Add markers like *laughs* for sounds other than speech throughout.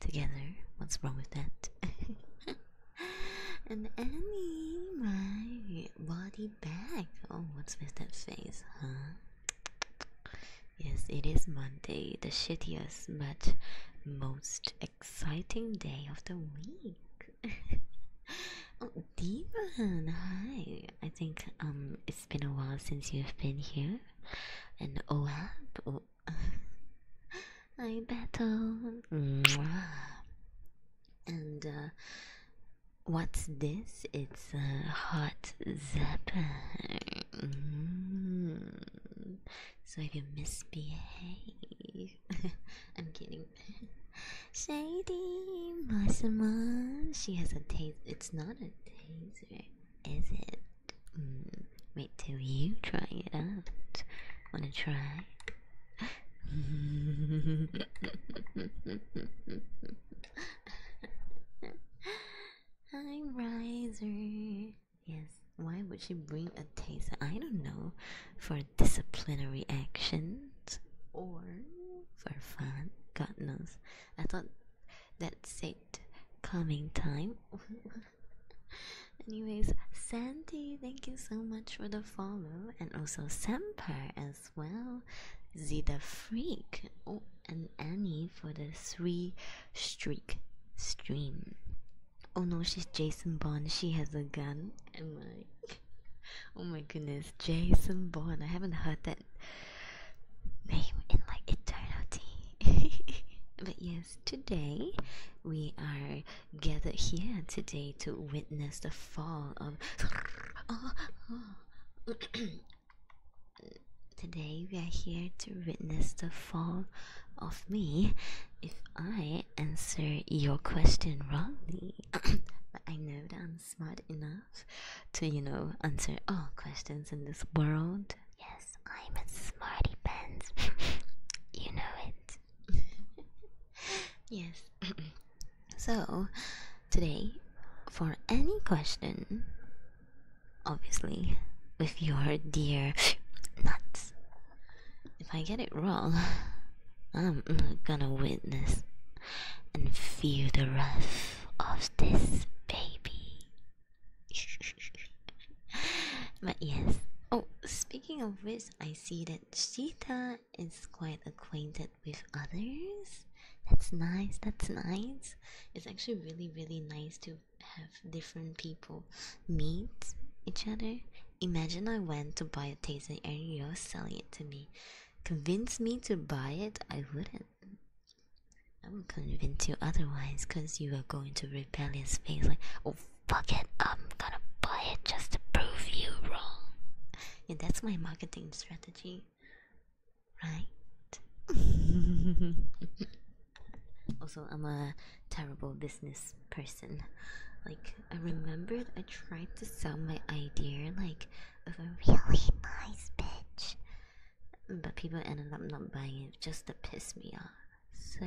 together. What's wrong with that? *laughs* and Annie, my body back. Oh, what's with that face, huh? Yes, it is Monday, the shittiest but most exciting day of the week. *laughs* oh, hi. I think um it's been a while since you've been here. And Oab, oh, *laughs* I battle. Um, and uh, what's this? It's a hot zapper. So if you misbehave, *laughs* I'm kidding. Shady Masama. She has a taser. It's not a taser, is it? Mm, wait till you try it out. Wanna try? Hi, Riser. Yes, why would she bring a taser? I don't know. For disciplinary actions or for fun. God knows. I thought that's it. Coming time. *laughs* *laughs* Anyways, Sandy, thank you so much for the follow, and also Samper as well. Zeta Freak, oh, and Annie for the three streak stream. Oh no, she's Jason Bond. She has a gun. Am I? *laughs* Oh my goodness, Jason Bond. I haven't heard that name in like eternity. *laughs* but yeah, today. We are gathered here today to witness the fall of. *coughs* Oh, oh. *coughs* today we are here to witness the fall of me if I answer your question wrongly. *coughs* but I know that I'm smart enough to, you know, answer all questions in this world. Yes, I'm a smarty pants. *laughs* you know it. *laughs* yes. *clears throat* so, today, for any question, obviously, with your dear *laughs* nuts, if I get it wrong, I'm gonna witness and feel the wrath of this baby. *laughs* but yes. Oh, speaking of which, I see that Sheeta is quite acquainted with others. That's nice, that's nice. It's actually really, really nice to have different people meet each other. Imagine I went to buy a taser and you're selling it to me. Convince me to buy it, I wouldn't. I am gonna convince you otherwise because you are going to rebellious face like, oh fuck it, I'm gonna buy it just to prove you wrong. Yeah, that's my marketing strategy, right? *laughs* also, I'm a terrible business person. Like, I remembered I tried to sell my idea like of a really nice bitch. But people ended up not buying it just to piss me off. So,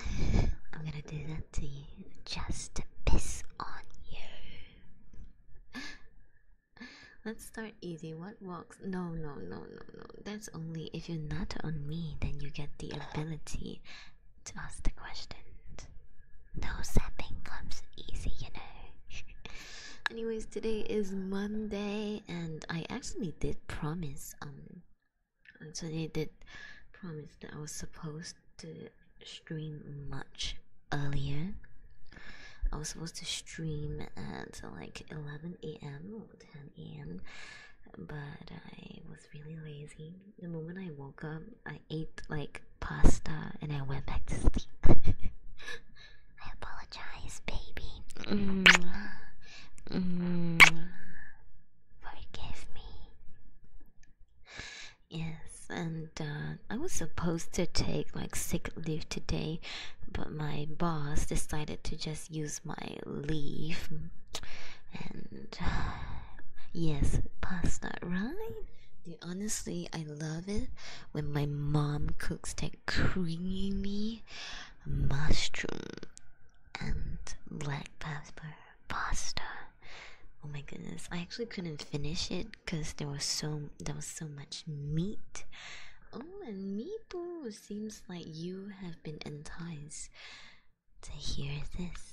I'm gonna do that to you just to piss on you. Let's start easy. What walks? No, no, no, no, no. That's only if you are not on me, then you get the ability to ask the question. No zapping comes easy, you know. *laughs* Anyways, today is Monday and I actually did promise um actually did promise that I was supposed to stream much earlier. I was supposed to stream at like 11 a.m. or 10 a.m. But I was really lazy. The moment I woke up, I ate like pasta and I went back to *laughs* sleep. I apologize, baby. -hmm. -hmm. Forgive me. Yes, and uh, I was supposed to take like sick leave today, but my boss decided to just use my leave. And *sighs* yes, pasta, right? honestly, I love it when my mom cooks creamy mushroom and black pepper pasta. Oh my goodness! I actually couldn't finish it because there was so there was so much meat. Oh, and Meepo seems like you have been enticed to hear this.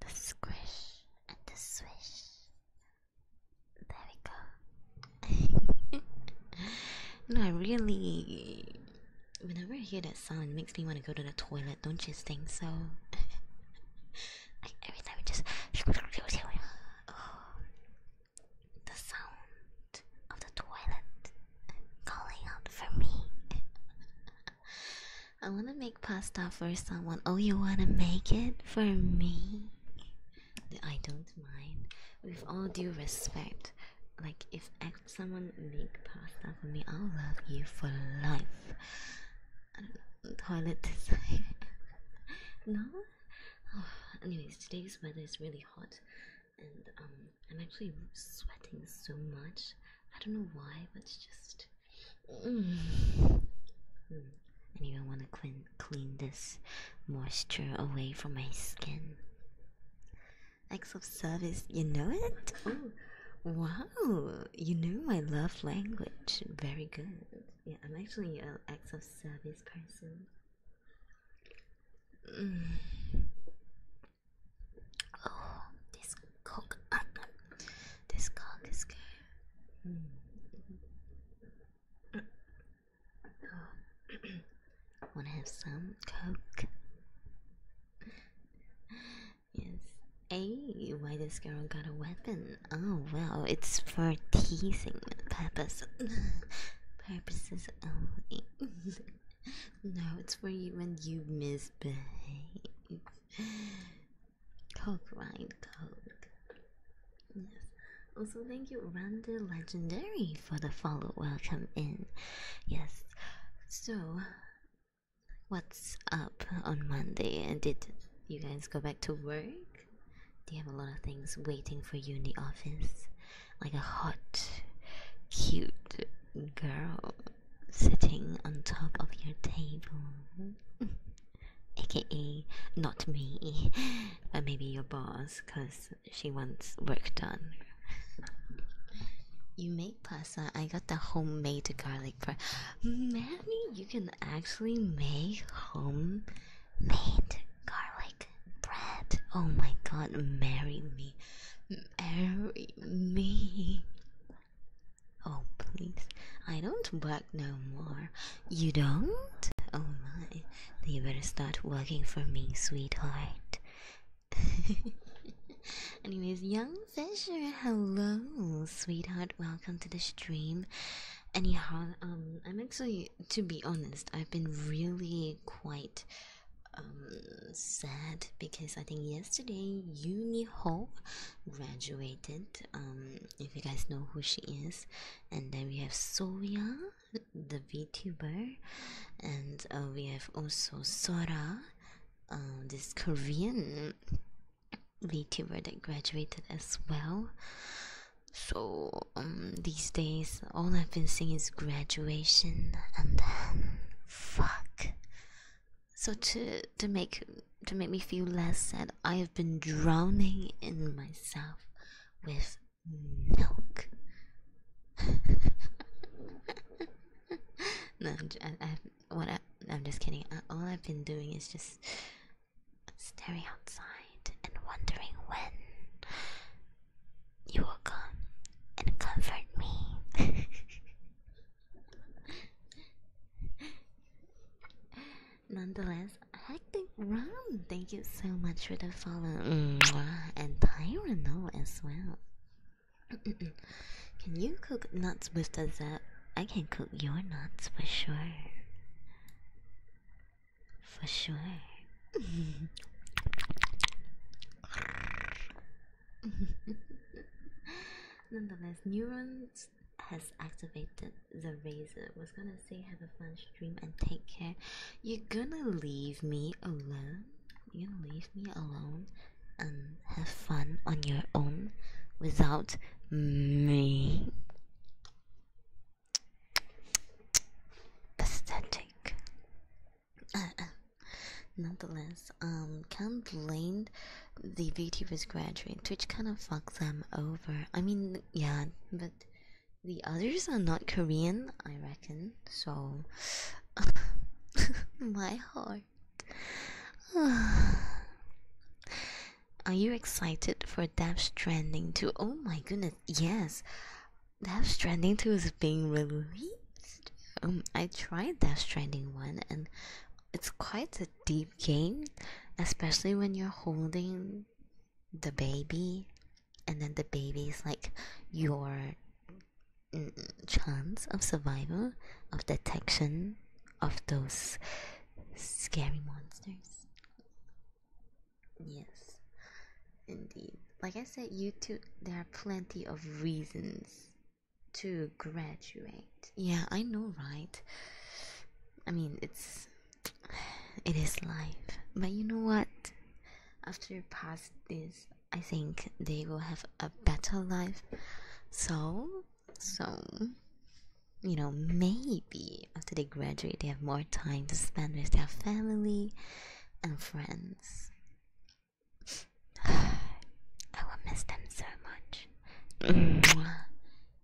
the squish and the swish. There we go. *laughs* no, I really. Whenever I hear that sound, it makes me want to go to the toilet, don't you think so? *laughs* every time it just. *sighs* the sound of the toilet calling out for me. *laughs* I want to make pasta for someone. Oh, you want to make it for me? I don't mind. With all due respect, like if someone make pasta for me, I'll love you for life. I don't know, toilet design. *laughs* no? Oh, anyways, today's weather is really hot, and um, I'm actually sweating so much. I don't know why, but it's just Mm. Mm. I even want to clean clean this moisture away from my skin. Acts of service, you know it? Oh, wow, you know my love language. Very good. Yeah, I'm actually an acts of service person. Mm. Oh, cock. this cock is good. Mm. Wanna have some coke? yes. Hey, why this girl got a weapon? Oh well, it's for teasing purpose. Purposes only. *laughs* no, it's for you when you misbehave. Copyright code. Yes. Also, thank you, Randy Legendary, for the follow. Welcome in. Yes. So, what's up on Monday? And did you guys go back to work? Do you have a lot of things waiting for you in the office? Like a hot, cute girl sitting on top of your table. AKA *laughs* not me, *laughs* but maybe your boss because she wants work done. You make pasta. I got the homemade garlic bread. Mammy, you can actually make homemade garlic bread. Oh my god, marry me. Marry me. Oh, please. I don't work no more. You don't? Oh my. You better start working for me, sweetheart. *laughs* Anyways, Young Fisher, hello, sweetheart. Welcome to the stream. Anyhow, um, I'm actually, to be honest, I've been really quite um, sad because I think yesterday Uni Ho graduated. Um, if you guys know who she is, and then we have Soya, the VTuber, and uh, we have also Sora, uh, this Korean VTuber that graduated as well. So um, these days, all I've been seeing is graduation, and then fuck so to to make to make me feel less sad i have been drowning in myself with milk *laughs* no I, am just kidding all i've been doing is just staring outside and wondering when you will come and comfort me *laughs* Nonetheless, hectic run. Thank you so much for the follow, and Tyrano as well. can you cook nuts with the I can cook your nuts for sure. For sure. *laughs* *laughs* Nonetheless, neurons has activated the razor. Was gonna say have a fun stream and take care. You're gonna leave me alone. You're gonna leave me alone and have fun on your own without me. Pathetic. Uh, uh. Nonetheless, viewers um, can't blame the VTubers graduate. Twitch kind of fucks them over. I mean, yeah, but the others are not Korean, I reckon. So, *laughs* my heart. *sighs* Are you excited for Death Stranding 2? Oh my goodness, yes! Death Stranding 2 is being released! Um, I tried Death Stranding 1 and it's quite a deep game, especially when you're holding the baby and then the baby is like your mm, chance of survival of detection of those scary monsters yes indeed like i said youtube there are plenty of reasons to graduate. Yeah, I know, right? I mean, it's it is life. But you know what? After you pass this, I think they will have a better life. So, so you know, maybe after they graduate, they have more time to spend with their family and friends. *sighs* I will miss them so much.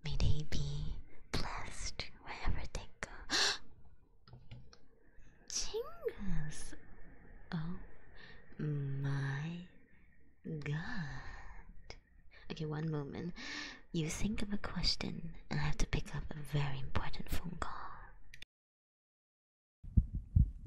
May they be blessed wherever they go. Chingus! *gasps* Oh my god. Okay, one moment. You think of a question, and I have to pick up a very important phone call.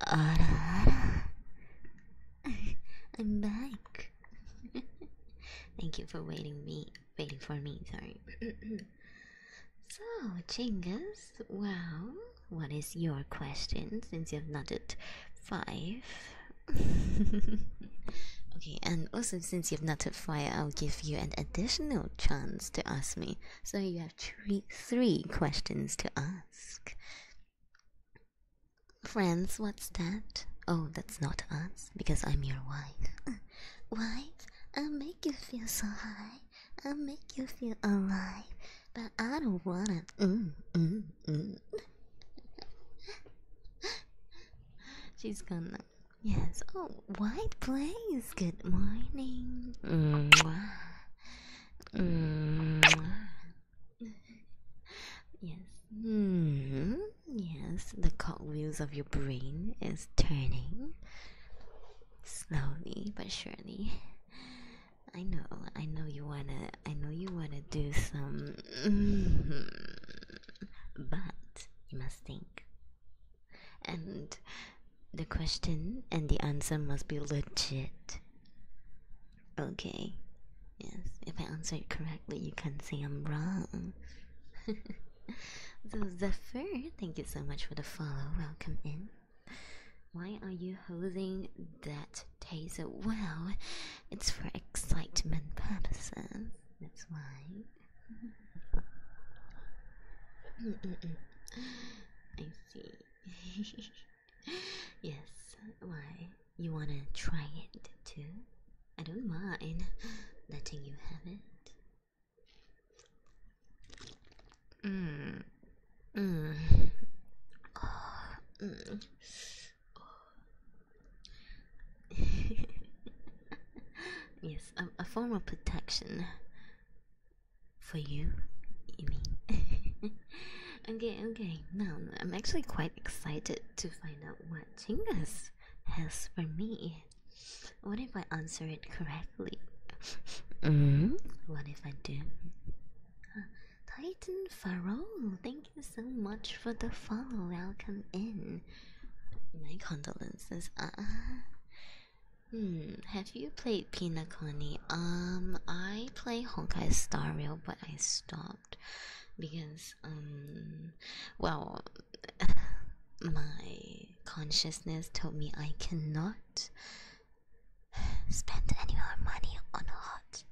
あらあら *laughs* I'm back *laughs* Thank you for waiting me waiting for me sorry *clears throat* So Chingus well, what is your question since you've noted five *laughs* Okay, and also since you've not 5 I'll give you an additional chance to ask me. So you have three questions to ask. Friends, what's that? Oh, that's not us, because I'm your wife. Uh, *clears throat* wife, i make you feel so high. i make you feel alive. But I don't wanna. Mm, mm, mm. *laughs* She's gone now. Yes. Oh, White Place. Good morning. Mm. *clears throat* Mm. Yes. Mm -hmm. Yes, the cogwheels of your brain is turning slowly but surely. I know, I know you wanna, I know you wanna do some, mm-hmm. but you must think. And the question and the answer must be legit. Okay. Yes, if I answer it correctly, you can say I'm wrong. *laughs* so, Zephyr, thank you so much for the follow. Welcome in. Why are you holding that taser? Well, it's for excitement purposes. That's why. Mm *laughs* -mm see. *laughs* yes, why? You wanna try it too? I don't mind letting you have it. Mm. Mm. mm. *laughs* yes, a form of protection. For you, you *laughs* okay, okay. Now I'm actually quite excited to find out what Chingus has for me. What if I answer it correctly? Mm. What if I do? Titan Farol, thank you so much for the follow. Welcome in. My condolences. Uh, uh. Hmm, have you played Pinaconi? Um, I play Honkai Star Rail, but I stopped because, um, well, *sighs* my consciousness told me I cannot spend any more money on hot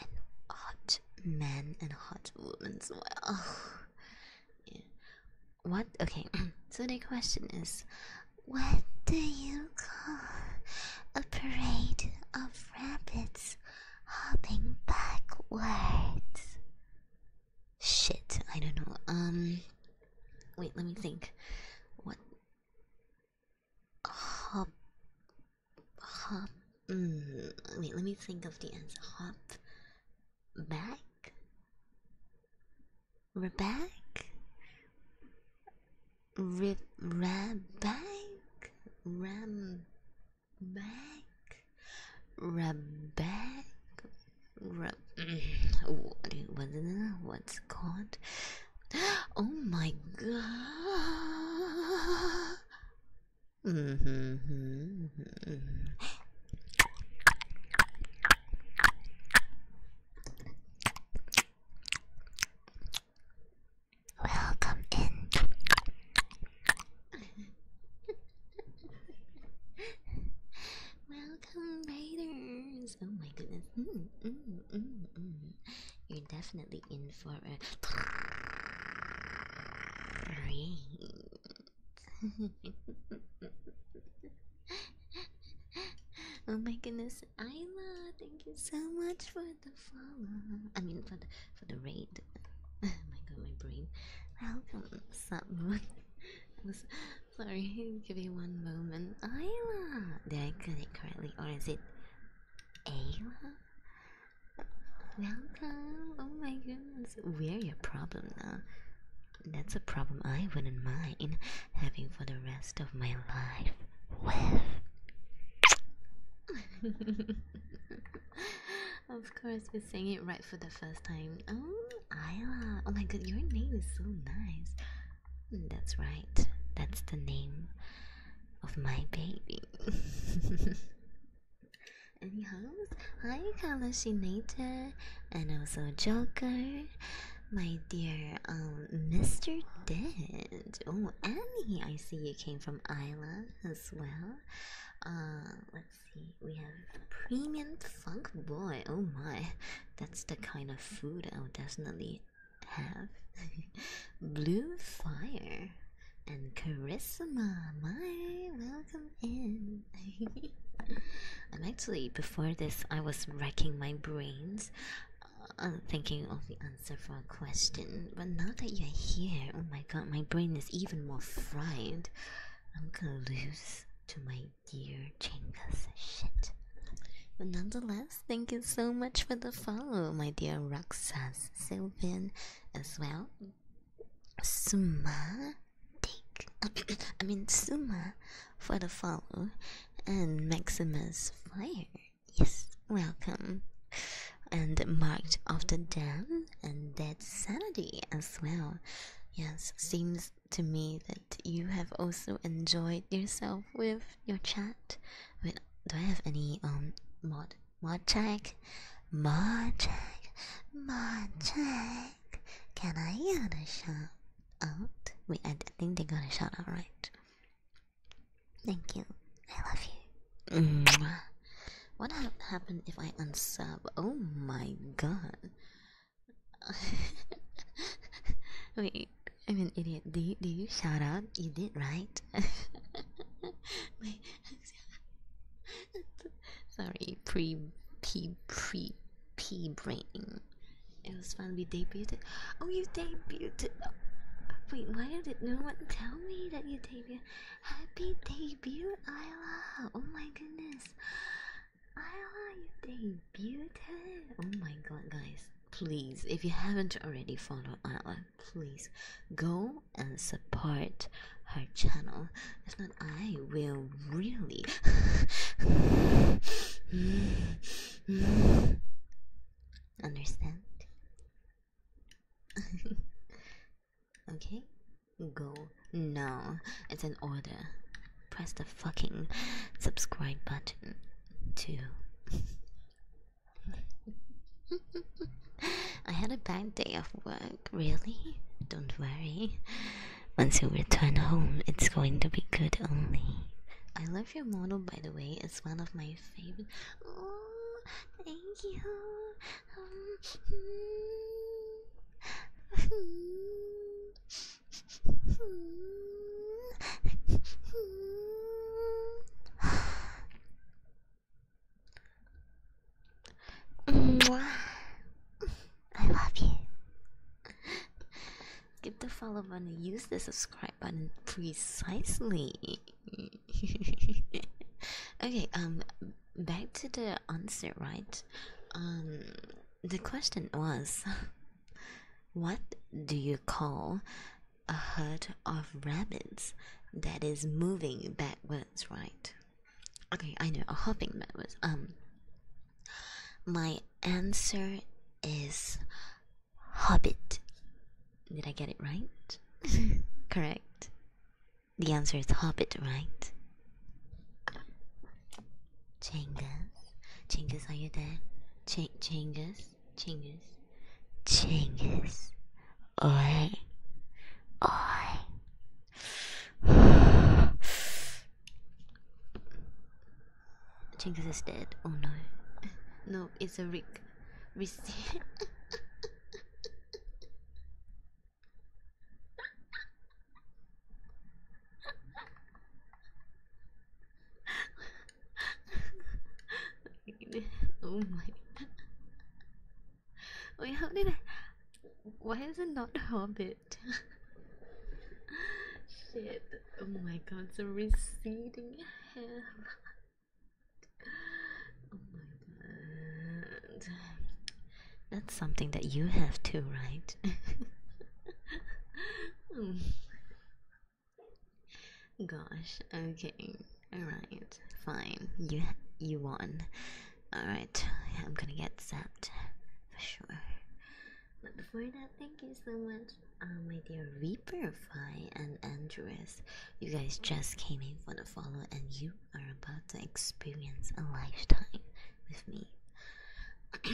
and hot men and hot women well. *sighs* yeah. What? Okay, *clears throat* so the question is what do you call a parade of rabbits hopping backwards? Shit, I don't know. Um, wait, let me think. What? Hop. Hop. Mm, wait, let me think of the answer. Hop back? Rebecca? Rib Rebecca? Rebecca? Rebecca? Re what, what, what's called? Oh my god! Mm-hmm, mm-hmm, mm-hmm. Welcome in. Welcome, Raiders. Oh my goodness. Mm, mm, mm, You're definitely in for a treat. *laughs* *laughs* *laughs* oh my goodness, Ayla! thank you so much for the follow. I mean, for the for the raid. *laughs* Oh my god, my brain. Welcome, sub *laughs* moon. Sorry, give me one moment. Ayla. did I get it correctly, or is it Ayla? Welcome. Oh my goodness, we're your problem now. That's a problem I wouldn't mind having for the rest of my life with. *laughs* of course, we sang it right for the first time. Oh, Isla. Oh my god, your name is so nice. That's right. That's the name of my baby. *laughs* Anyhow, hi Kalashinator and also Joker my dear um Mr. Dent. Oh, Annie, I see you came from Isla as well. Uh, let's see, we have Premium Funk Boy. Oh my, that's the kind of food I'll definitely have. *laughs* Blue Fire and Charisma. My welcome in. *laughs* I'm actually before this I was racking my brains I'm thinking of the answer for a question, but now that you're here, oh my god, my brain is even more fried. I'm gonna lose to my dear Chingus. Shit. But nonetheless, thank you so much for the follow, my dear Roxas Sylvan, as well. Suma, take. *coughs* I mean, Suma for the follow, and Maximus Fire Yes, welcome and marked after Dan and Dead Sanity as well. Yes, seems to me that you have also enjoyed yourself with your chat. do I have any um mod mod check? Mod check, mod check. Can I get a shout out? Wait, I, I think they got a shout out right. Thank you. I love you. Mm. Mwah. What ha happened if I unsub? Oh my god. *laughs* Wait, I'm an idiot. Do you, do you shout out? You did, right? *laughs* *laughs* Sorry, pre, pre, pre, pre brain. It was fun. We debuted. Oh, you debuted. wait, why did no one tell me that you debuted? Happy debut, Ayla! Oh my goodness. Ayla, you debuted. Oh my god, guys. Please, if you haven't already followed Ayla, please go and support her channel. If not, I will really. Understand? *laughs* okay, go. No, it's an order. Press the fucking subscribe button Two. *laughs* I had a bad day of work, really? Don't worry. Once you return home, it's going to be good only. I love your model by the way, it's one of my favorite. Oh, thank you. Um, *sighs* I love you. Give the follow button, use the subscribe button precisely. *laughs* okay, um back to the answer, right? Um the question was *laughs* what do you call a herd of rabbits that is moving backwards, right? Okay, I know, a hopping backwards. Um my answer is Hobbit. Did I get it right? Correct. The answer is Hobbit, right? Chingus. Chingus, are you there? Ch Chingus? Chingus? Chingus. Oi. Oi. Chinggis is dead. Oh no. No, it's a Rick. Receive. *laughs* oh my god. Wait, how did I. Why is it not Hobbit? *laughs* Shit oh my god the receding hair oh my god that's something that you have too right *laughs* gosh okay all right fine you you won all right i'm gonna get zapped for sure but before that, thank you so much, uh, my dear Reaper Reaperfy and Andress. You guys just came in for the follow, and you are about to experience a lifetime with me. *clears throat*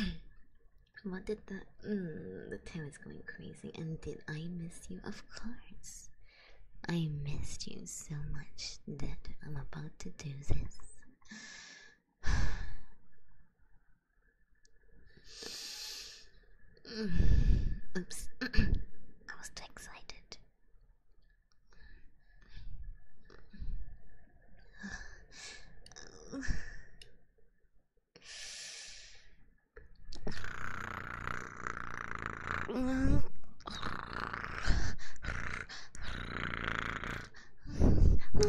what did the mm, the tail is going crazy? And did I miss you? Of course, I missed you so much that I'm about to do this. *sighs* *sighs* Oops. I was too excited. oh. oh.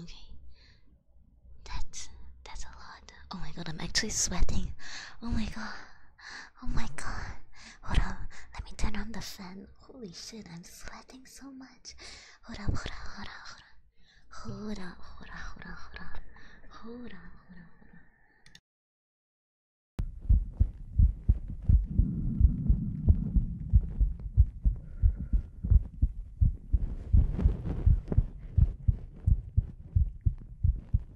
Okay, that's that's a lot. Oh my god, I'm actually sweating. Oh my god. Oh my god. Hold up. Let me turn on the fan. Holy shit, I'm sweating so much. Hold up, hold up, hold up, hold up. Hold up, hold up, hold up, hold up. Hold up, hold up, hold up.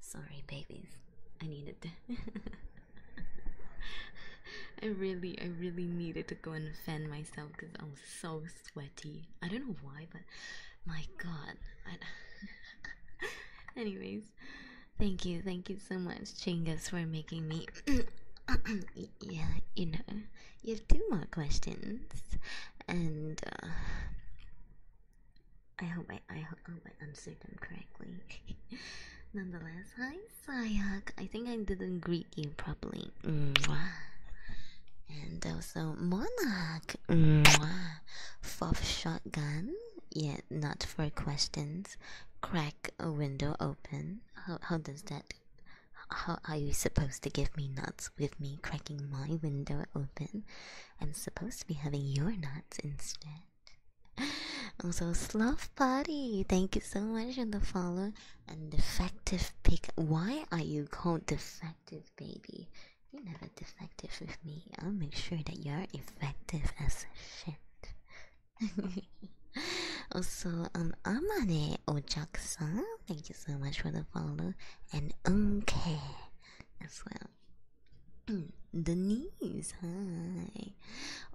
Sorry, babies. I needed. to. *laughs* I really, I really needed to go and fan myself because I am so sweaty. I don't know why, but my god. *laughs* Anyways, thank you, thank you so much, Chingus, for making me. *coughs* yeah, you know, you have two more questions, and uh, I hope I, I hope I answered them correctly. *laughs* Nonetheless, hi Sayak. I think I didn't greet you properly. And also Monarch. Mwah. Fourth shotgun. Yet not for questions. Crack a window open. how does that? How are you supposed to give me nuts with me cracking my window open? I'm supposed to be having your nuts instead. Also, Sloth Body, thank you so much for the follow. And Defective Pig, why are you called Defective Baby? You're never defective with me. I'll make sure that you're effective as shit. *laughs* also, um, Amane ojak thank you so much for the follow. And Unke as well. Mm, Denise. hi.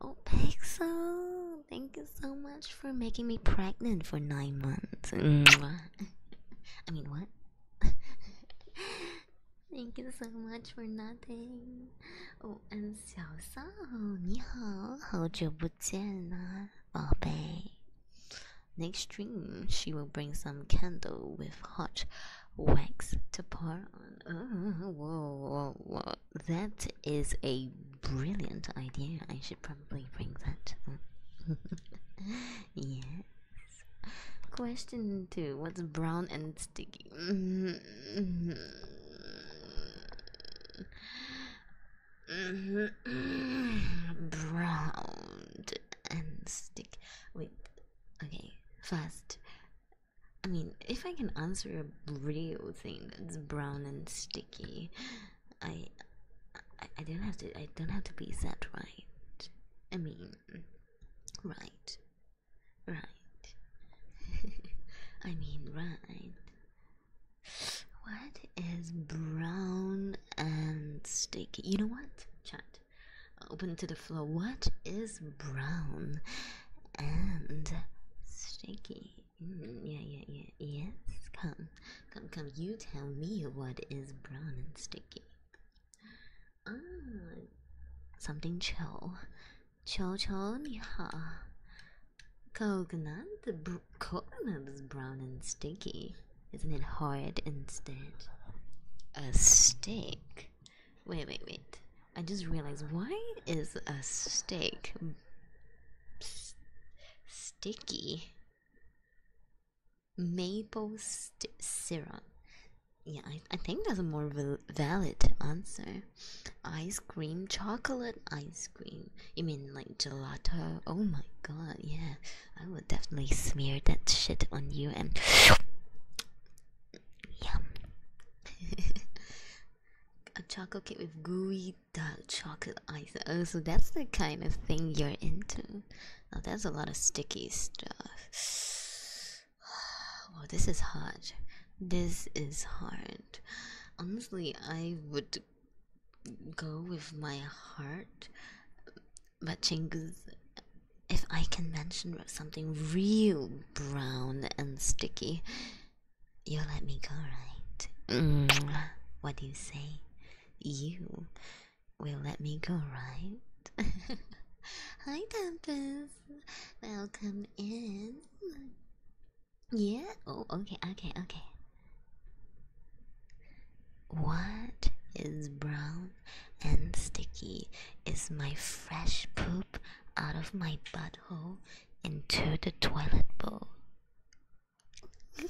Oh, Pixel, thank you so much for making me pregnant for nine months. *laughs* I mean, what? *laughs* Thank you so much for nothing. Oh, and 小少，你好，好久不见啦，宝贝。Next dream, she will bring some candle with hot wax to pour on. Uh, whoa, That is a brilliant idea. I should probably bring that. *laughs* yes. Question two What's brown and sticky? Mm-hmm. Mm-hmm. Mm-hmm. brown and stick with okay First, I mean if I can answer a real thing that's brown and sticky I I, I don't have to I don't have to be set right I mean right right *laughs* I mean right what is brown and sticky? You know what? chat. Uh, open to the floor. What is brown and sticky? Mm, yeah, yeah, yeah. Yes, come, come, come. You tell me what is brown and sticky. Ah, something chill. Chill, chill, niha. Coconut, coconut is brown and sticky. Isn't it hard instead? A stick. Wait, wait, wait. I just realized why is a stick sticky? Maple syrup. Yeah, I, think that's a more valid answer. Ice cream, chocolate ice cream. You mean like gelato? Oh my god, yeah. I would definitely smear that shit on you and yum. *laughs* A chocolate cake with gooey dark chocolate ice. Oh, so that's the kind of thing you're into. Oh, that's a lot of sticky stuff. *sighs* Well, this is hard. This is hard. Honestly, I would go with my heart but Chingus, if I can mention something real brown and sticky, you'll let me go, right? What do you say? You will let me go, right? *laughs* Hi, Tempest. Welcome in. Yeah. Oh, okay, okay, okay. What is brown and sticky is my fresh poop out of my butthole into the toilet bowl. *laughs*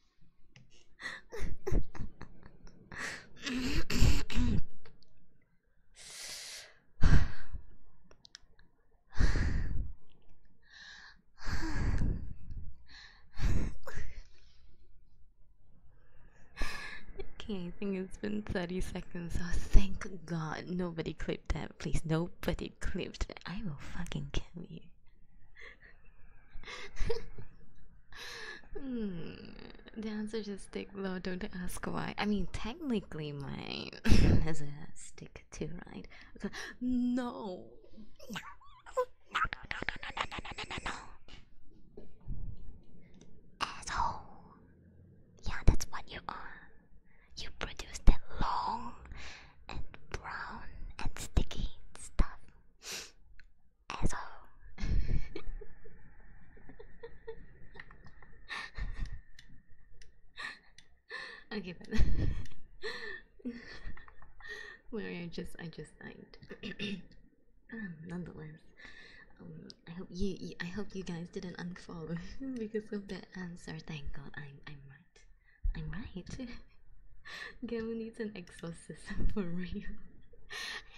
okay, I think it's been 30 seconds, so oh, thank god nobody clipped that. Please, nobody clipped that. I will fucking kill you. *laughs* hmm. The answer is stick low, don't ask why. I mean, technically, mine is *laughs* a stick too, right? So, no. no. No, no, no, no, no, no, no, no, no, no. Asshole. Yeah, that's what you are. You produce that long and brown and sticky stuff asshole. *laughs* okay, but *laughs* where I just, I just, I. *clears throat* Um, nonetheless, um, I hope you, you, I hope you guys didn't unfollow *laughs* because of that answer. Thank God, I'm, I'm right. I'm right. *laughs* Gamu needs an exorcism for real.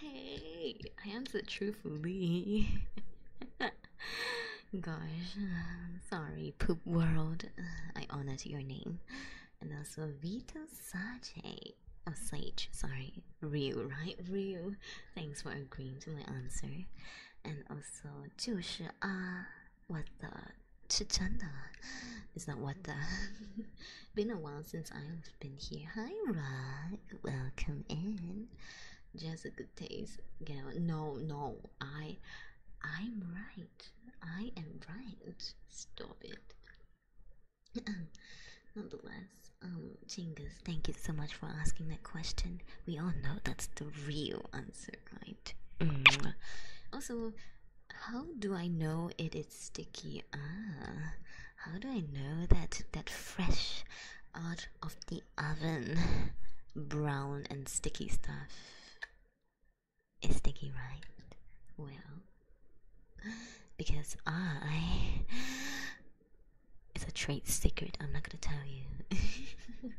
Hey, I answered truthfully. *laughs* Gosh, sorry, poop world. I honored your name. And also Vito Sage. Oh, Sage, sorry. Real, right? Real. Thanks for agreeing to my answer. And also, 就是啊, what the to Chanda. Is that what the *laughs* been a while since I've been here? Hi Rod, welcome in. Just a good taste. Go. No, no, I I'm right. I am right. Stop it. *clears throat* Nonetheless, um, Chingus, thank you so much for asking that question. We all know that's the real answer, right? Mm. Also, how do I know it is sticky? Ah, how do I know that that fresh out of the oven brown and sticky stuff is sticky, right? Well, because I it's a trade secret. I'm not gonna tell you.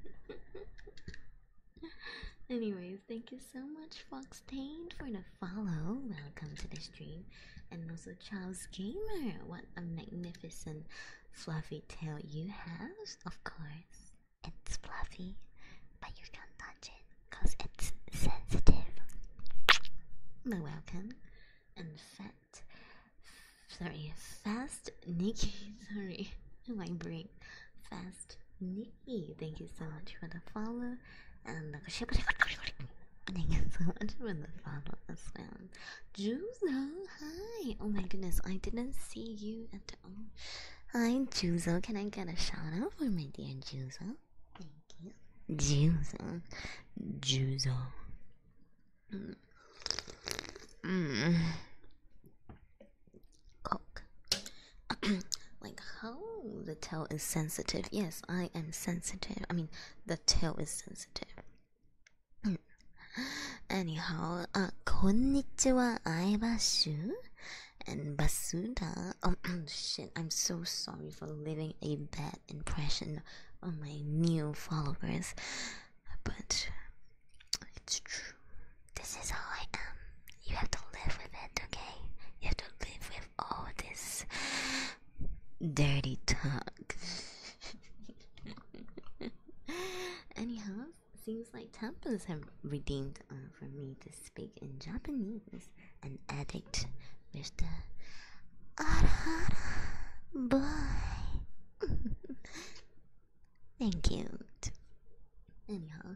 *laughs* Anyways, thank you so much, Fox Foxtain, for enough follow, welcome to the stream. And also Charles Gamer, what a magnificent fluffy tail you have. Of course, it's fluffy, but you can't touch it because it's sensitive. But welcome. And fat, sorry, fast Nikki, *laughs* sorry, *laughs* my brain. Fast Nick Hey, thank you so much for the follow. And thank you so much for the follow as well. Juzo, hi. Oh my goodness, I didn't see you at all. Hi, Juzo. Can I get a shout out for my dear Juzo? Thank you. Juzo. Juzo. Mm. Coke. *clears throat* like how oh, the tail is sensitive. Yes, I am sensitive. I mean, the tail is sensitive. *clears throat* Anyhow, uh, konnichiwa, I bashu and basuda. Oh *clears throat* shit, I'm so sorry for leaving a bad impression on my new followers, but it's true. This is how I am. You have to live with it, okay? You have to live with all this dirty talk. *laughs* Anyhow, seems like temples have redeemed uh, for me to speak in Japanese. An addict, Mr. Arahara *laughs* Thank you. Anyhow,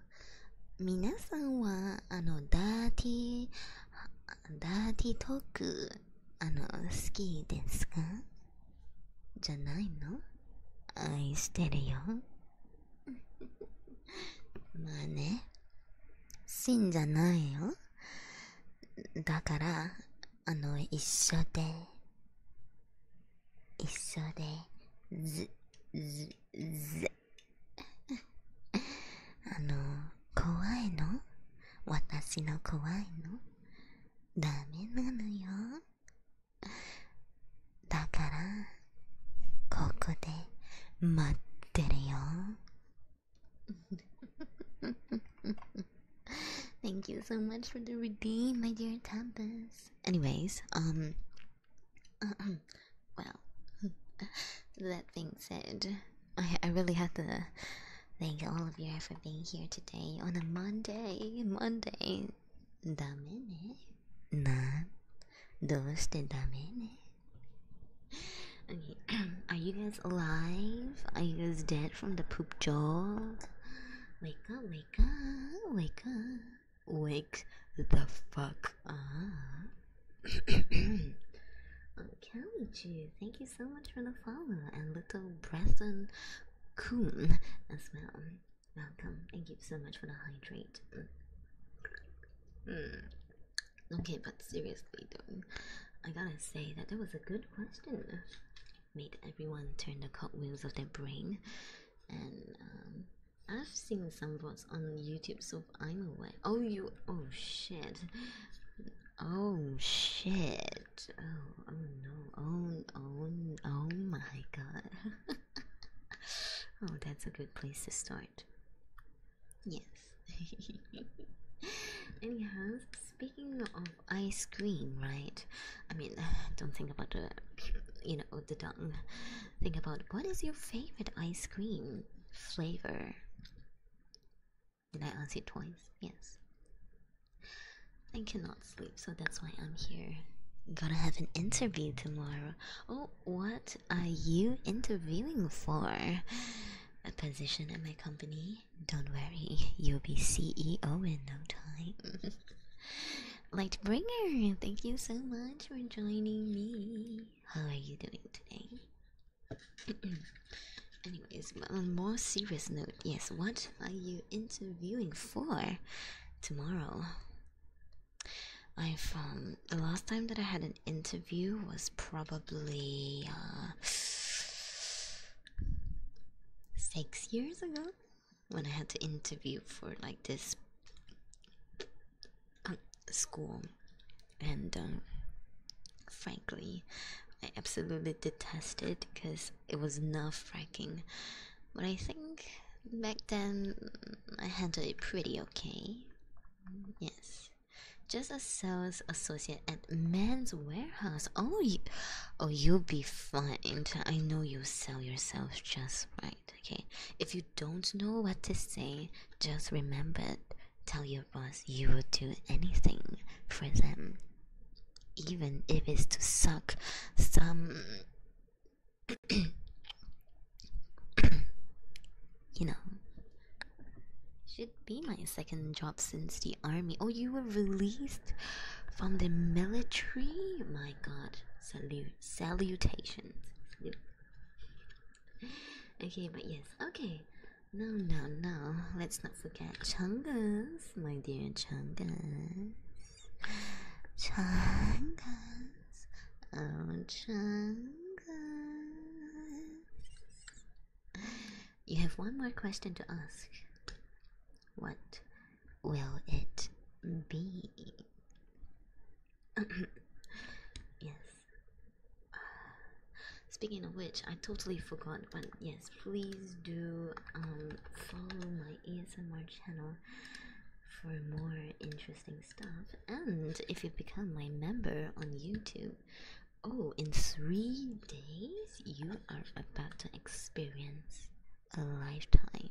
みなさんは、あの、ダーティー、ダーティートーク、あの、好きですかじゃないの愛してるよ。*laughs* まあね、真じゃないよ。だから、あの、一緒で、一緒で、ず、ず、ず、あの怖いの私の怖いのダメなのよだからここで待ってるよ *laughs* Thank you so much for the redeem, my dear Tempest. Anyways, um, *clears throat* well, that being said, I, really have to thank all of you for being here today on a Monday. Monday. Dame ne? Nan? are you guys alive? Are you guys dead from the poop job? Wake up, wake up, wake up. Wake the fuck up oh, *coughs* thank you so much for the follow. And little Preston Coon as well. Welcome. Thank you so much for the hydrate. Mm. mm. Okay, but seriously though, I gotta say that that was a good question. Made everyone turn the cogwheels of their brain, and um, I've seen some bots on YouTube, so I'm aware. Oh, you. Oh, shit. Oh, shit. Oh, oh no. Oh, oh, oh my god. *laughs* oh, that's a good place to start. Yes. *laughs* Anyhow, speaking of ice cream, right? I mean, *sighs* don't think about the, you know, the tongue. Think about what is your favorite ice cream flavor? Did I answer it twice? Yes. I cannot sleep, so that's why I'm here. going to have an interview tomorrow. Oh, what are you interviewing for? A position at my company? Don't worry, you'll be CEO in no time. *laughs* Lightbringer, thank you so much for joining me. How are you doing today? *clears throat* Anyways, on a more serious note, yes, what are you interviewing for tomorrow? I've um the last time that I had an interview was probably uh, six years ago when I had to interview for like this school, and um, frankly, I absolutely detest it because it was nerve wracking. But I think back then mm, I handled it pretty okay. Yes, just a sales associate at Men's Warehouse. Oh, you, oh, you'll be fine. I know you sell yourself just right. Okay, if you don't know what to say, just remember tell your boss you will do anything for them, even if it's to suck some. *coughs* you know, should be my second job since the army. Oh, you were released from the military? My god, salute, salutations okay, but yes, okay. No, no, no. Let's not forget Chungus, my dear Chungus. Chungus. Oh, Chungus. You have one more question to ask. What will it be? *coughs* yes, *sighs* speaking of which, I totally forgot, but yes, please do um, follow my my channel for more interesting stuff. And if you become my member on YouTube, oh, in three days, you are about to experience a lifetime.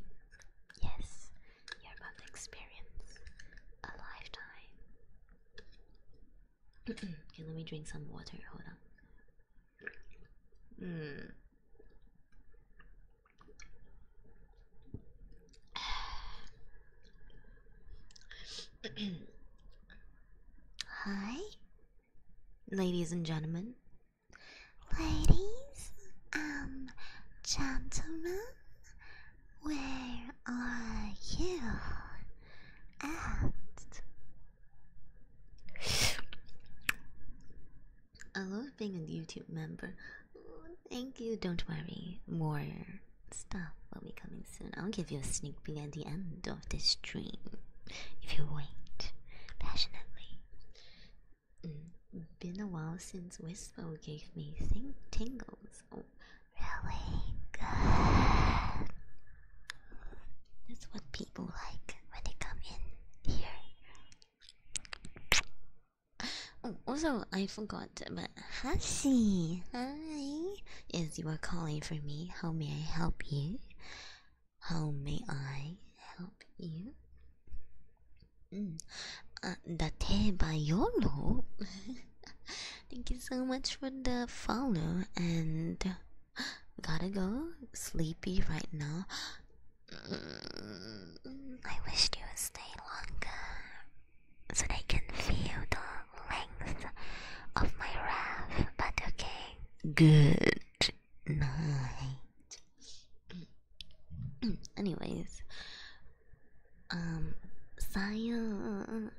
Yes, you're going to experience a lifetime. *clears throat* okay, let me drink some water. Hold on. Mm. *clears throat* Hi, ladies and gentlemen. Ladies, and um, gentlemen, where are you at? I love being a YouTube member. Thank you, don't worry. More stuff will be coming soon. I'll give you a sneak peek at the end of this stream if you wait passionately. Mm, been a while since Whisper gave me tingles. It's really good. That's what people like when they come in here. Oh, also, I forgot, but Hasi, hi. Yes, you are calling for me. How may I help you? How may I help you? Mm. Uh, date bayolo? *laughs* Thank you so much for the follow and *gasps* gotta go. Sleepy right now. Mm, I wish you would stay longer so they can feel the length of my wrath, but okay. Good night. Mm, mm, anyways, um science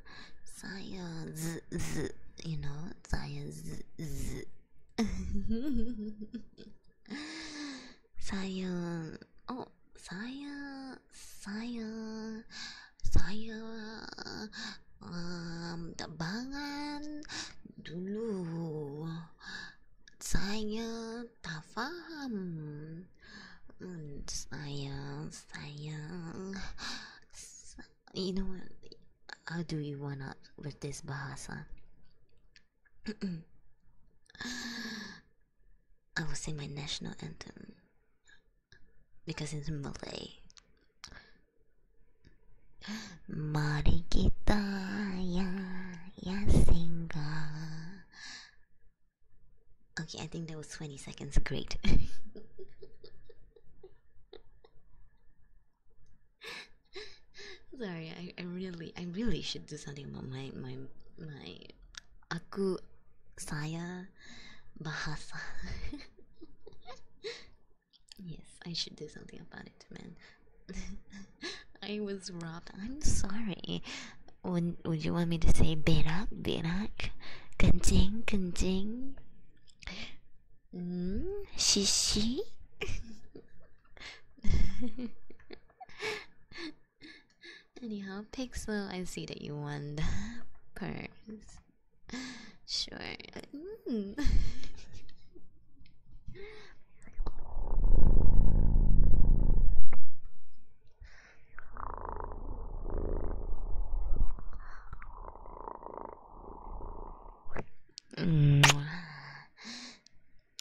science z, you know science z. science oh science science science um bangan dulu saya tak faham Sayang, mm, mm, sayang. You know what? How do you want up with this bahasa? *clears throat* I will sing my national anthem because it's Malay. Mari kita ya ya singa. Okay, I think that was 20 seconds. Great. *laughs* Sorry, I, I really I really should do something about my my my aku saya bahasa. *laughs* yes, I should do something about it, man. *laughs* I was robbed. I'm sorry. Would, would you want me to say berak, berak? Kencing, kencing? Hmm? Shishi? *laughs* Anyhow, Pixel, I see that you want the purse. Sure. Mm. *laughs*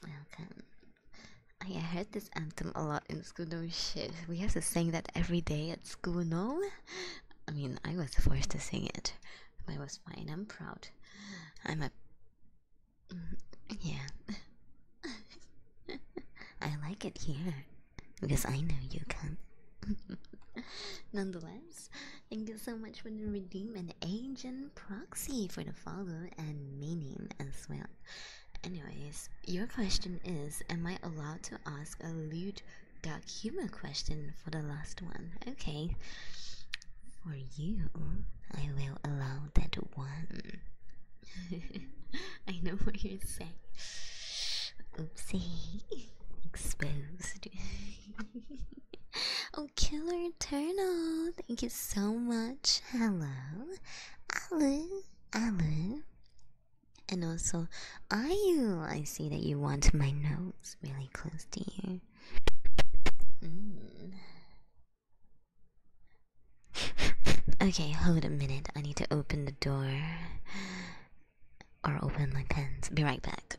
Okay. I heard this anthem a lot in school, no shit. We have to sing that every day at school, no? I mean, I was forced to sing it, but it was fine. I'm proud. I'm a. Yeah. *laughs* I like it here. Because I know you can. *laughs* Nonetheless, thank you so much for the redeem and agent proxy for the follow and meaning as well. Anyways, your question is Am I allowed to ask a lewd dark humor question for the last one? Okay, for you, I will allow that one. *laughs* I know what you're saying. Oopsie. Exposed. *laughs* oh, Killer Turtle. Thank you so much. Hello. Alu. Alu. And also, are you? I see that you want my nose really close to you. Mm okay, hold a minute. I need to open the door. Or open my pants. Be right back.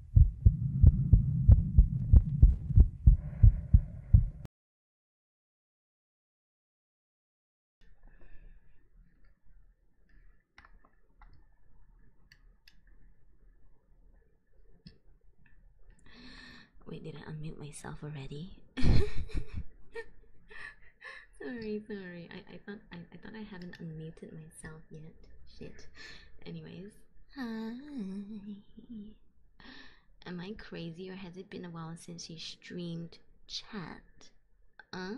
Wait, did I unmute myself already? *laughs* sorry, sorry. I, I thought I, I thought I haven't unmuted myself yet. Shit. Anyways, Hi. Am I crazy or has it been a while since you streamed chat? Uh,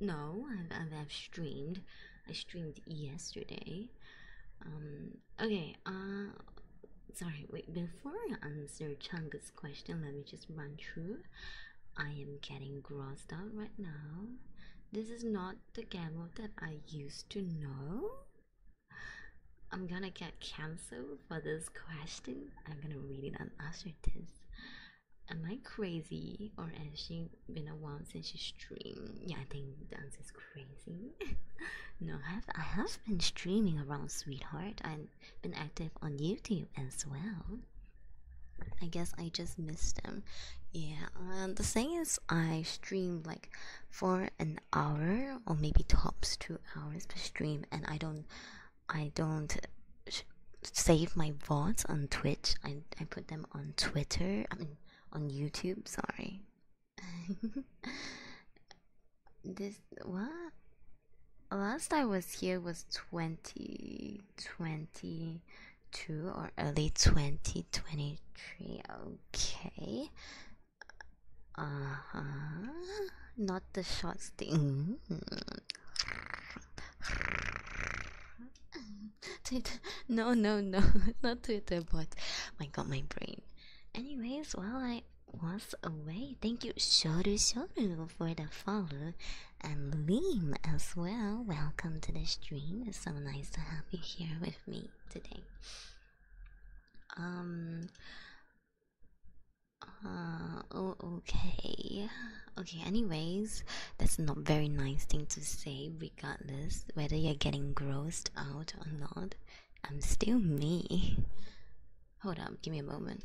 no, I've, I've, streamed. I streamed yesterday. Um, okay, uh, sorry, wait, before I answer Chungus' question, let me just run through. I am getting grossed out right now. This is not the camo that I used to know. I'm gonna get cancelled for this question. I'm gonna read it on Usher test. Am I crazy or has she been a while since she streamed? Yeah, I think dance is crazy. *laughs* no, I have, I have been streaming around Sweetheart. I've been active on YouTube as well. I guess I just missed them. Yeah, um, the thing is, I streamed like for an hour or maybe tops two hours per stream and i don't i don't save my vods on twitch i, I put them on twitter i mean on youtube sorry *laughs* this what last i was here was 2022 or early 2023 Okay. Uh huh. Not the short thing. No, no, no. *laughs* Not Twitter But My god, my brain. Anyways, well, I was away, thank you, Shoru Shoru, for the follow. And Liam as well. Welcome to the stream. It's so nice to have you here with me today. Um. Uh, oh, okay. Okay, anyways, that's not very nice thing to say, regardless whether you're getting grossed out or not. I'm still me. Hold on. give me a moment.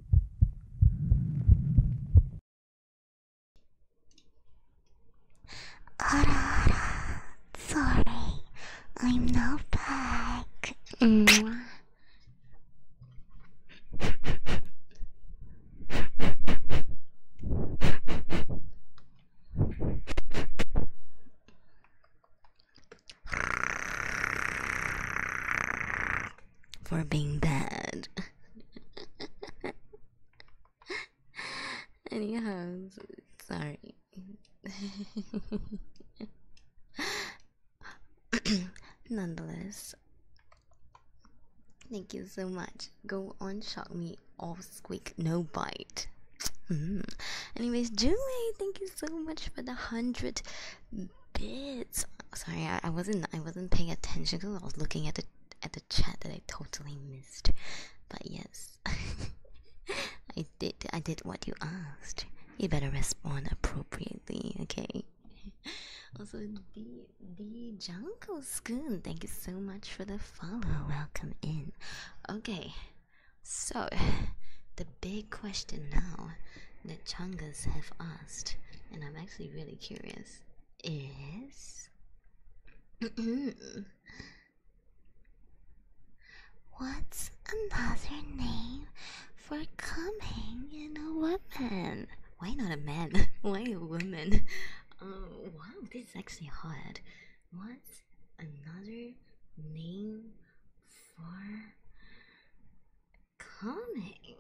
Ara, Sorry, I'm not back for being bad. *laughs* Anyhow, sorry. *coughs* Nonetheless, thank you so much. Go on, shock me, all squeak, no bite. Mm-hmm. Anyways, Junwei, thank you so much for the hundred bits. Sorry, I, wasn't. I wasn't paying attention because I was looking at the at the chat that I totally missed. But yes, *laughs* I did. I did what you asked. You better respond appropriately, okay? *laughs* Also, the the Jungle Scoon, thank you so much for the follow. Welcome in. Okay, so *laughs* the big question now that Chungus have asked, and I'm actually really curious is *clears throat* what's another name for coming in a woman? Why not a man? *laughs* Why a woman? Um, wow, this is actually hard. What's another name for coming.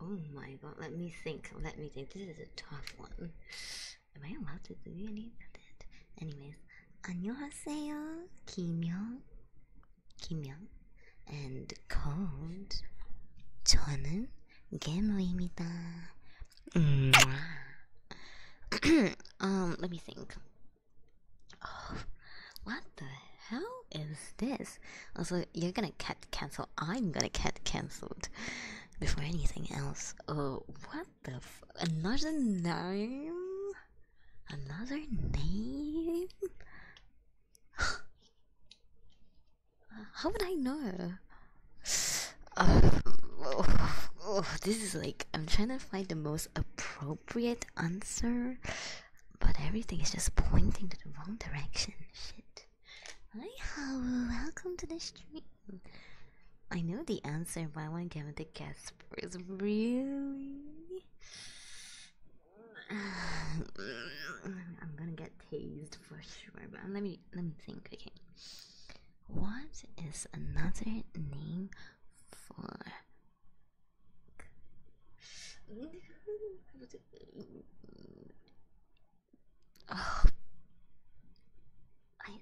Oh my god, let me think. Let me think. This is a tough one. Am I allowed to do any of that? Anyways, 안녕하세요, 김영, 김영, and called 저는 게모입니다. *clears throat* um, let me think. Oh, what the hell is this? Also, you're gonna get cancelled. I'm gonna get cancelled before anything else. Oh, what the f another name? Another name? *gasps* How would I know? *sighs* Oh, this is like I'm trying to find the most appropriate answer. But everything is just pointing to the wrong direction. Shit. Hi, Howl. Welcome to the stream. I know the answer, but I want to give it a guess Really? *sighs* I'm gonna get tased for sure, but let me let me think. Okay, what is another name for Oh. *laughs* I,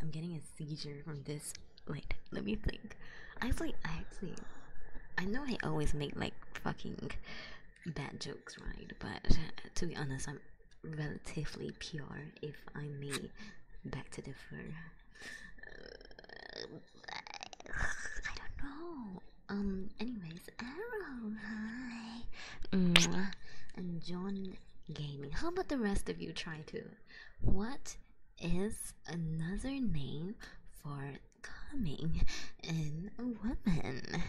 I'm getting a seizure from this. Wait, let me think. Actually, I actually, I know I always make like fucking bad jokes, right? But to be honest, I'm relatively pure, if I may. Back to the fur. *sighs* I don't know. Um, anyways, Arrow, hi. Mwah. And John Gaming. How about the rest of you try to? What is another name for coming in a woman?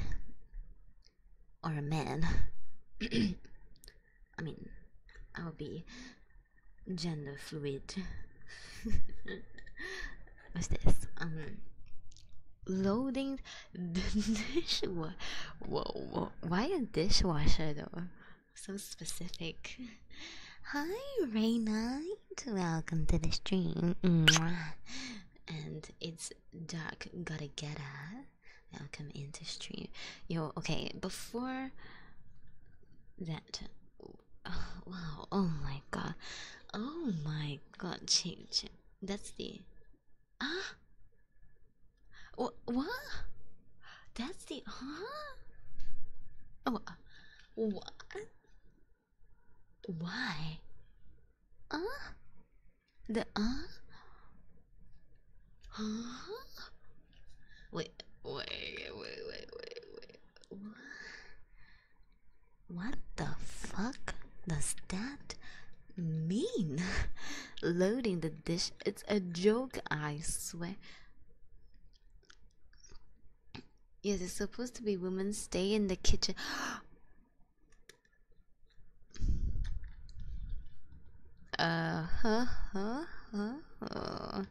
Or a man? *clears throat* I mean, I'll be gender fluid *laughs* what's this um loading the *laughs* dishwasher why a dishwasher though so specific hi ray welcome to the stream and it's dark gotta get up welcome into stream yo okay before that Oh, *laughs* wow, oh my god. Oh my god, change. That's the. Ah! Wh what? That's the. ah. Oh, uh, what? Why? Ah, The ah. Huh? Wait, wait, wait, wait, wait, wait. What the fuck does that mean? *laughs* Loading the dish, it's a joke, I swear. Yes, it's supposed to be women stay in the kitchen. *gasps* uh huh huh huh Oh.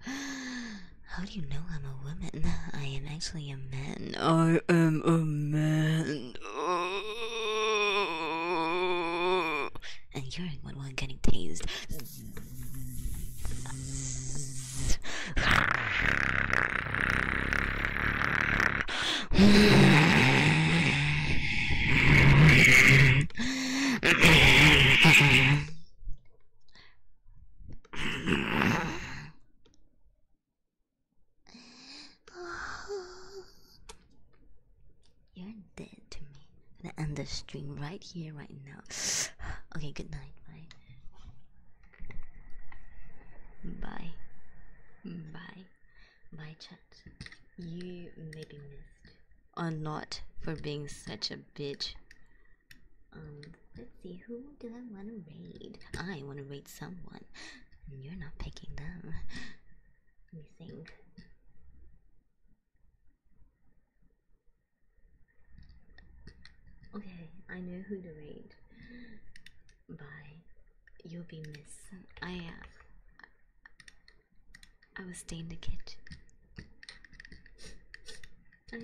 How do you know I'm a woman? I am actually a man. I am a man. And you're what one getting tased. *sighs* You're dead to me. I'm gonna end the stream right here, right now. *sighs* okay, good night. Bye. Bye. Bye. Bye, chat. You may be missed or not for being such a bitch. Um, let's see, who do I want to raid? I want to raid someone. You're not picking them. Let me think. Okay, I know who to raid. Bye. You'll be missed. I, uh, I was staying in the kitchen. *laughs* I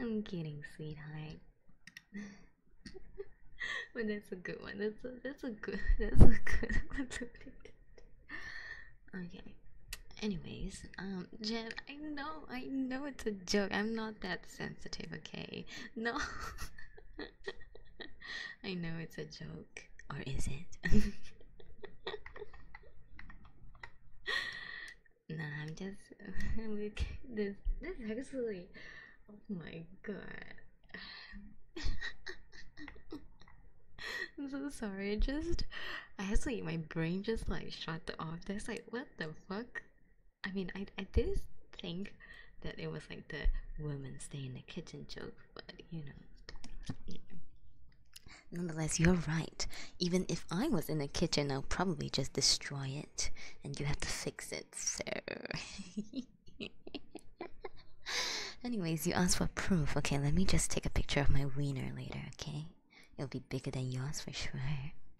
am kidding, sweetheart. but *laughs* that's a good one. That's a that's a good *laughs* that's a good one. okay. Anyways, um Jen, I know, I know it's a joke. I'm not that sensitive, okay? No. *laughs* I know it's a joke. Or is it? *laughs* No, I'm just look *laughs* this this actually oh my god. I'm so sorry, just I actually my brain just like shut off. That's like what the fuck? I mean, I, I did think that it was like the women stay in the kitchen joke, but you know. Nonetheless, you're right. Even if I was in the kitchen, I'll probably just destroy it, and you have to fix it, so. *laughs* Anyways, you asked for proof. Okay, let me just take a picture of my wiener later, okay? It'll be bigger than yours for sure.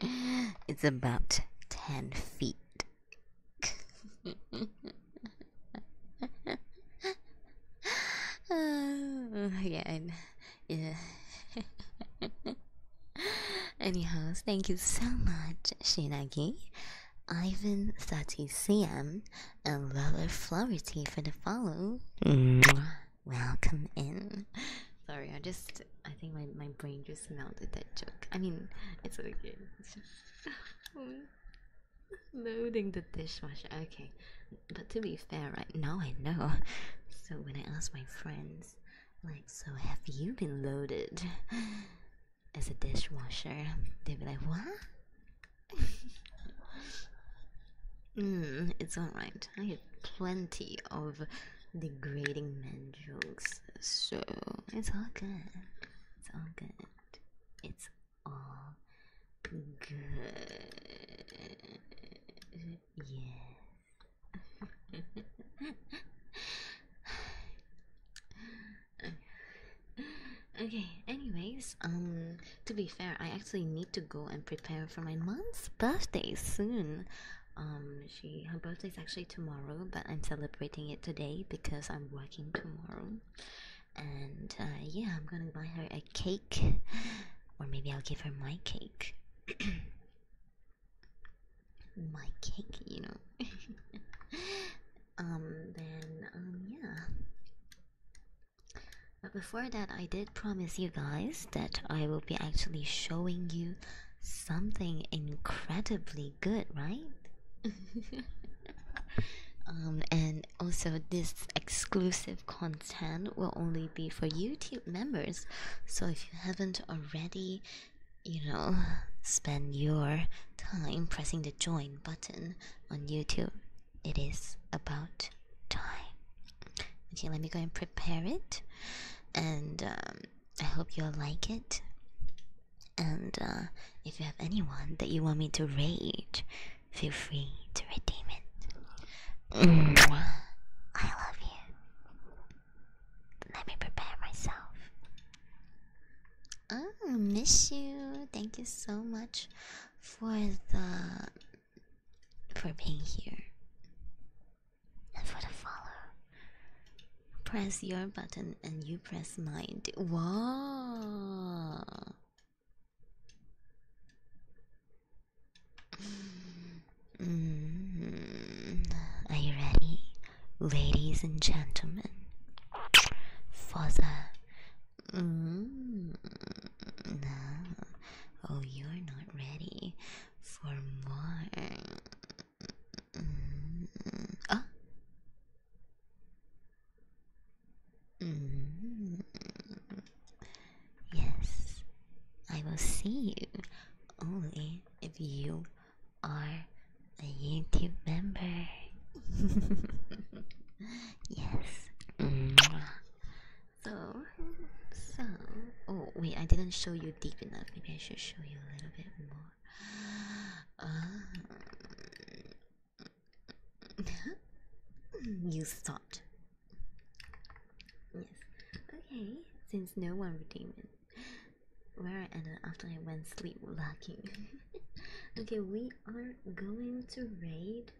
*laughs* It's about 10 feet. *laughs* Oh, yeah, yeah. *laughs* Anyhow, thank you so much, Shinagi, Ivan, Sati, CM, and Lola Flowerty for the follow. Mm. Welcome in. Sorry, I just, I think my, my brain just you smelled that joke. I mean, it's okay. It's *laughs* loading the dishwasher. Okay, but to be fair, right now I know. So when I ask my friends, like, so have you been loaded as a dishwasher? They'd be like, what? *laughs* Mm, it's alright. I have plenty of degrading men jokes, so it's all good. It's all good. It's all good. Yes. *laughs* okay, anyways, um to be fair, I actually need to go and prepare for my mom's birthday soon. Um, she her birthday is actually tomorrow, but I'm celebrating it today because I'm working tomorrow. And uh, yeah, I'm gonna buy her a cake, or maybe I'll give her my cake. *coughs* my cake, you know. *laughs* um. Then um. Yeah. But before that, I did promise you guys that I will be actually showing you something incredibly good, right? *laughs* Um, and also, this exclusive content will only be for YouTube members. So, if you haven't already, you know, spend your time pressing the join button on YouTube, it is about time. Okay, let me go and prepare it. And um, I hope you'll like it. And uh, if you have anyone that you want me to rage, feel free to redeem it. I love you. Let me prepare myself. Oh, miss you. Thank you so much for the for being here for the follow, press your button and you press mine. Wow. Mm-hmm. Are you ready, ladies and gentlemen? For the. Mm, oh, you're not ready for more. Ah. Mm. Yes, I will see you only if you are a YouTube member. *laughs* yes. So, so. Oh wait, I didn't show you deep enough. Maybe I should show you a little bit more. Uh, *laughs* you stopped. Yes. Okay. Since no one redeemed it. Where I ended after I went sleep lacking. *laughs* okay, we are going to raid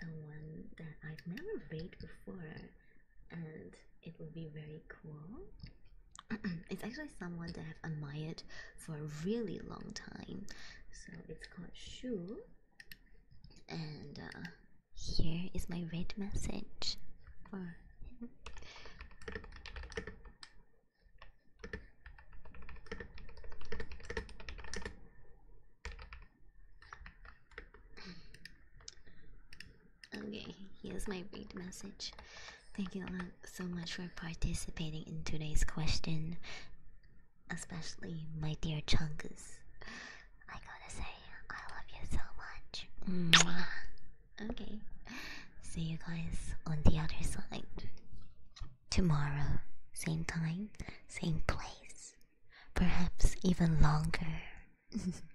someone that I've never raided before and it will be very cool. *clears throat* it's actually someone that I've admired for a really long time. So it's called Shu. And uh, here is my red message Okay, here's my big message. Thank you so much for participating in today's question, especially my dear Chunkus. I gotta say, I love you so much. Okay, see you guys on the other side. Tomorrow, same time, same place, perhaps even longer. *laughs*